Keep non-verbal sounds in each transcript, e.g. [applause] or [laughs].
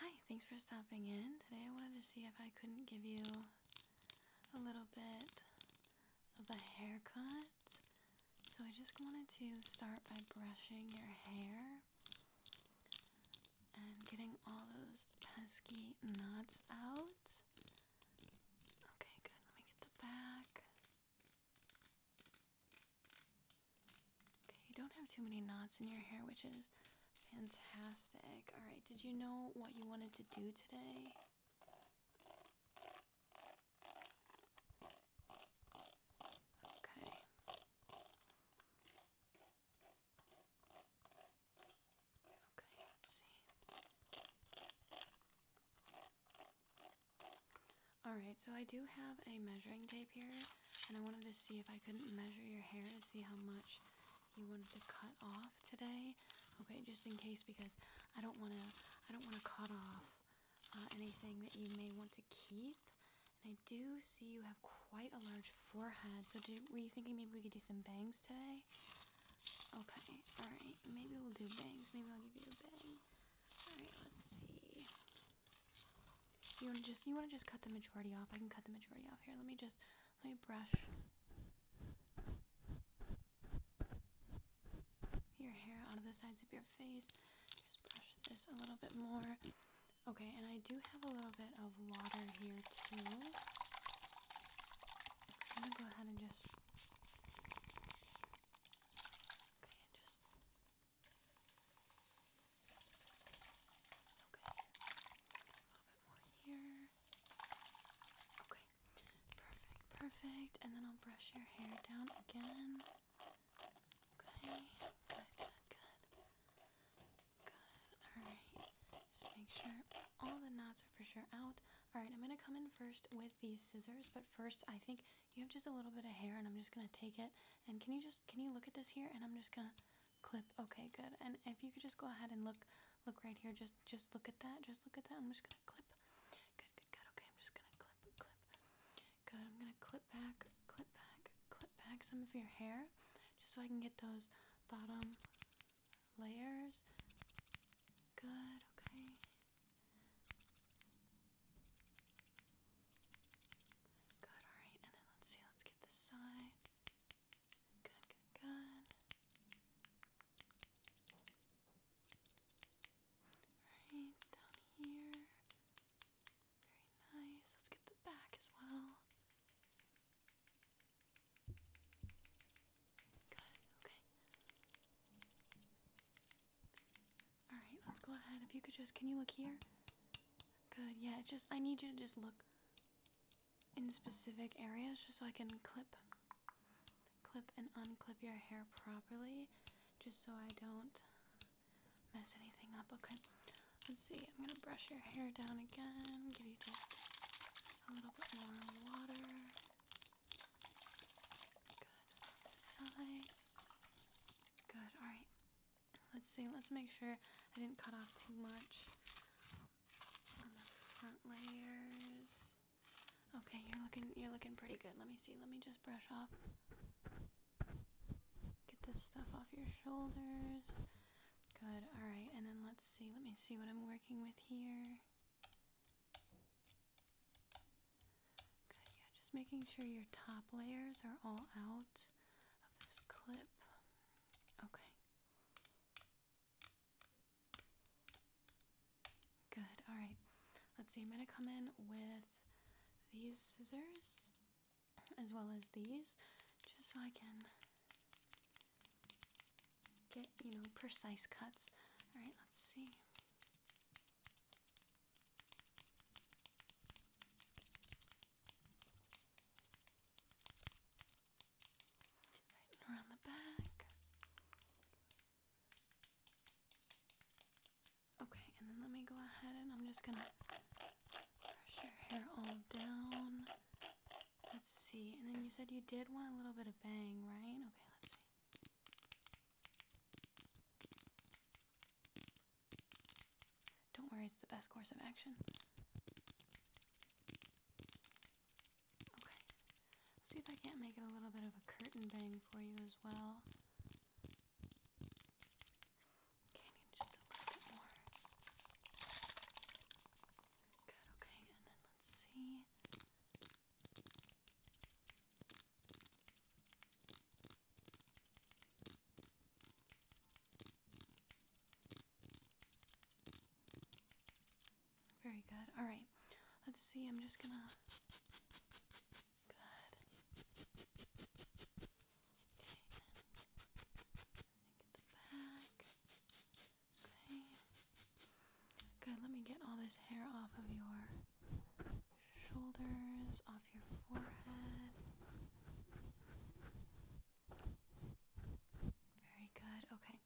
Hi, thanks for stopping in. Today I wanted to see if I couldn't give you a little bit of a haircut. So I just wanted to start by brushing your hair and getting all those pesky knots out. Okay, good. Let me get the back you don't have too many knots in your hair, which is fantastic. Alright, did you know what you wanted to do today? Okay. Okay, let's see. Alright, so I do have a measuring tape here, and I wanted to see if I couldn't measure your hair to see how much you wanted to cut off today. Okay, just in case, because I don't want to, I don't want to cut off uh, anything that you may want to keep. And I do see you have quite a large forehead, so did, were you thinking maybe we could do some bangs today? Okay, alright, maybe we'll do bangs. Maybe I'll give you a bang. Alright, let's see. You wanna just you wanna just cut the majority off? I can cut the majority off here. Let me just let me brush your hair out of the sides of your face. Just brush this a little bit more. Okay, and I do have a little bit of water here too. I'm gonna go ahead and just Okay, just. Okay. A little bit more here. Okay. Perfect, perfect. And then I'll brush your hair down again. Okay. Good, good, good. Good. Alright. Just make sure all the knots are for sure out. All right, I'm gonna come in first with these scissors, but first I think you have just a little bit of hair and I'm just gonna take it. And can you just, can you look at this here? And I'm just gonna clip, okay, good. And if you could just go ahead and look, look right here, just, just look at that, just look at that. I'm just gonna clip, good, good, good. Okay, I'm just gonna clip, clip. Good, I'm gonna clip back, clip back, clip back some of your hair, just so I can get those bottom layers good, okay? Good, alright, and then let's see, let's get this side. Good, good, good. Alright, down here. Very nice. Let's get the back as well. Good, okay. Alright, let's go ahead. If you could just, can you look here? Good, yeah, just, I need you to just look in specific areas just so I can clip, clip and unclip your hair properly just so I don't mess anything up. Okay, let's see. I'm gonna brush your hair down again, give you just a little bit more water. Good side. Good. All right. Let's see. Let's make sure I didn't cut off too much front layers. Okay, you're looking you're looking pretty good. Let me see. Let me just brush off. Get this stuff off your shoulders. Good. All right. And then let's see. Let me see what I'm working with here just making sure your top layers are all out of this clip. Okay. Good, alright. Let's see, I'm going to come in with these scissors as well as these just so I can get, you know, precise cuts. All right, let's see. Right, around the back. Okay, and then let me go ahead and I'm just gonna brush your hair all down. Let's see. And then you said you did want a little bit of bang, right? Okay, let's see. Don't worry, it's the best course of action. Okay. see if I can't make it a little bit of a curtain bang for you as well. Okay, just a little bit more. Good, okay, and then let's see. Very good. All right. Let's see. I'm just gonna. Good. Okay. Good. Let me get all this hair off of your shoulders, off your forehead. Very good. Okay.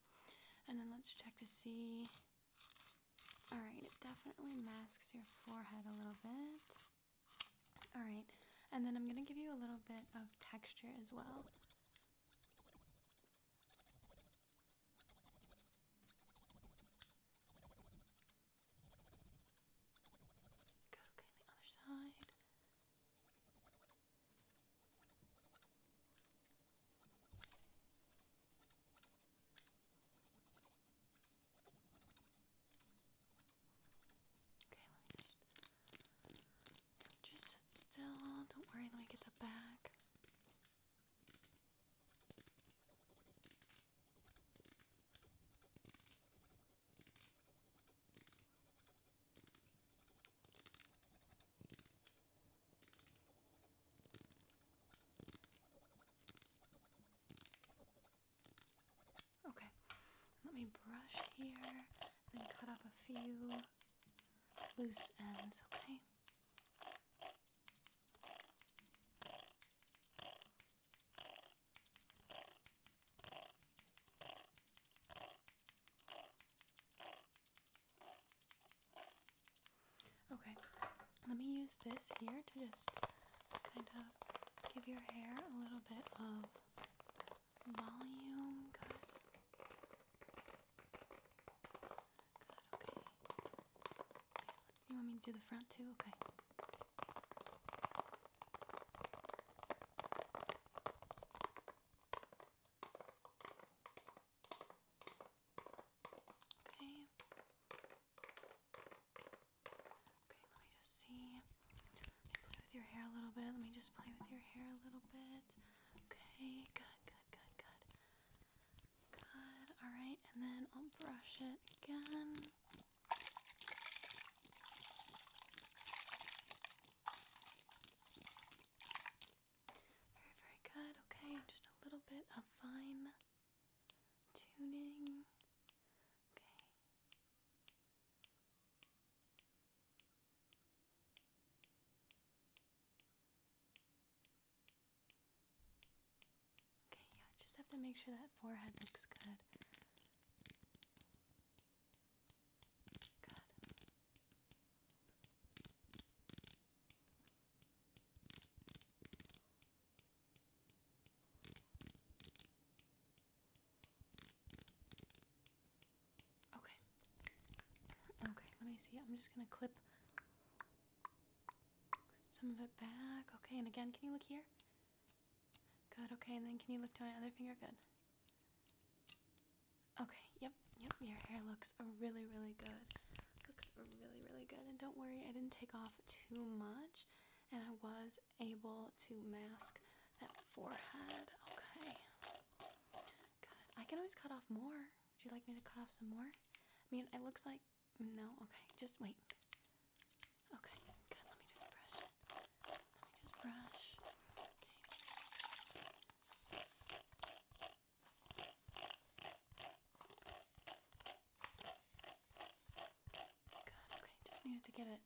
And then let's check to see. Alright, it definitely masks your forehead a little bit. All right, and then I'm going to give you a little bit of texture as well. Good, okay, on the other side. Okay, let me just. Yeah, just sit still. Don't worry, let me get the bag. Okay, Okay, let me brush here and then cut up a few loose ends, okay? Okay, let me use this here to just kind of give your hair a little bit of volume. Good. Good, okay. okay you want me to do the front too? Okay. Okay. Okay, let me just see. play with your hair a little bit. Let me just play with your hair a little bit. Okay, good, good, good, good. Good, alright, and then I'll brush it again. Very, very good. Okay, just a little bit of fine tuning. Okay. Okay, yeah, just have to make sure that forehead looks good. Good. Okay. Okay, let me see. I'm just gonna clip some of it back. Okay, and again, can you look here? Good, okay, and then can you look to my other finger? Good. Okay, yep, yep, your hair looks really, really good. Looks really, really good. And don't worry, I didn't take off too much. And I was able to mask that forehead. Okay. Good. I can always cut off more. Would you like me to cut off some more? I mean, it looks like... No? Okay. Just wait. Okay. Good. Let me just brush it. Let me just brush. Okay okay, just needed to get it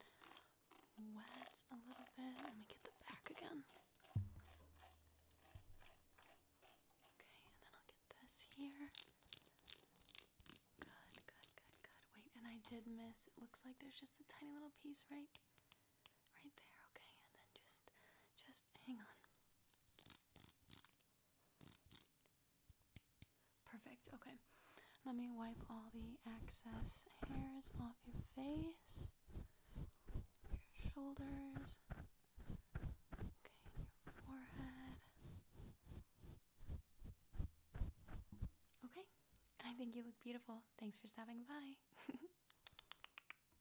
wet a little bit. Let me get the back again. Okay, and then I'll get this here. Good, good, good, good. Wait, and I did miss. It looks like there's just a tiny little piece right right there, okay? And then just just hang on. Perfect. Okay. Let me wipe all the excess hairs off your face, your shoulders, okay, your forehead. Okay. I think you look beautiful. Thanks for stopping by. [laughs]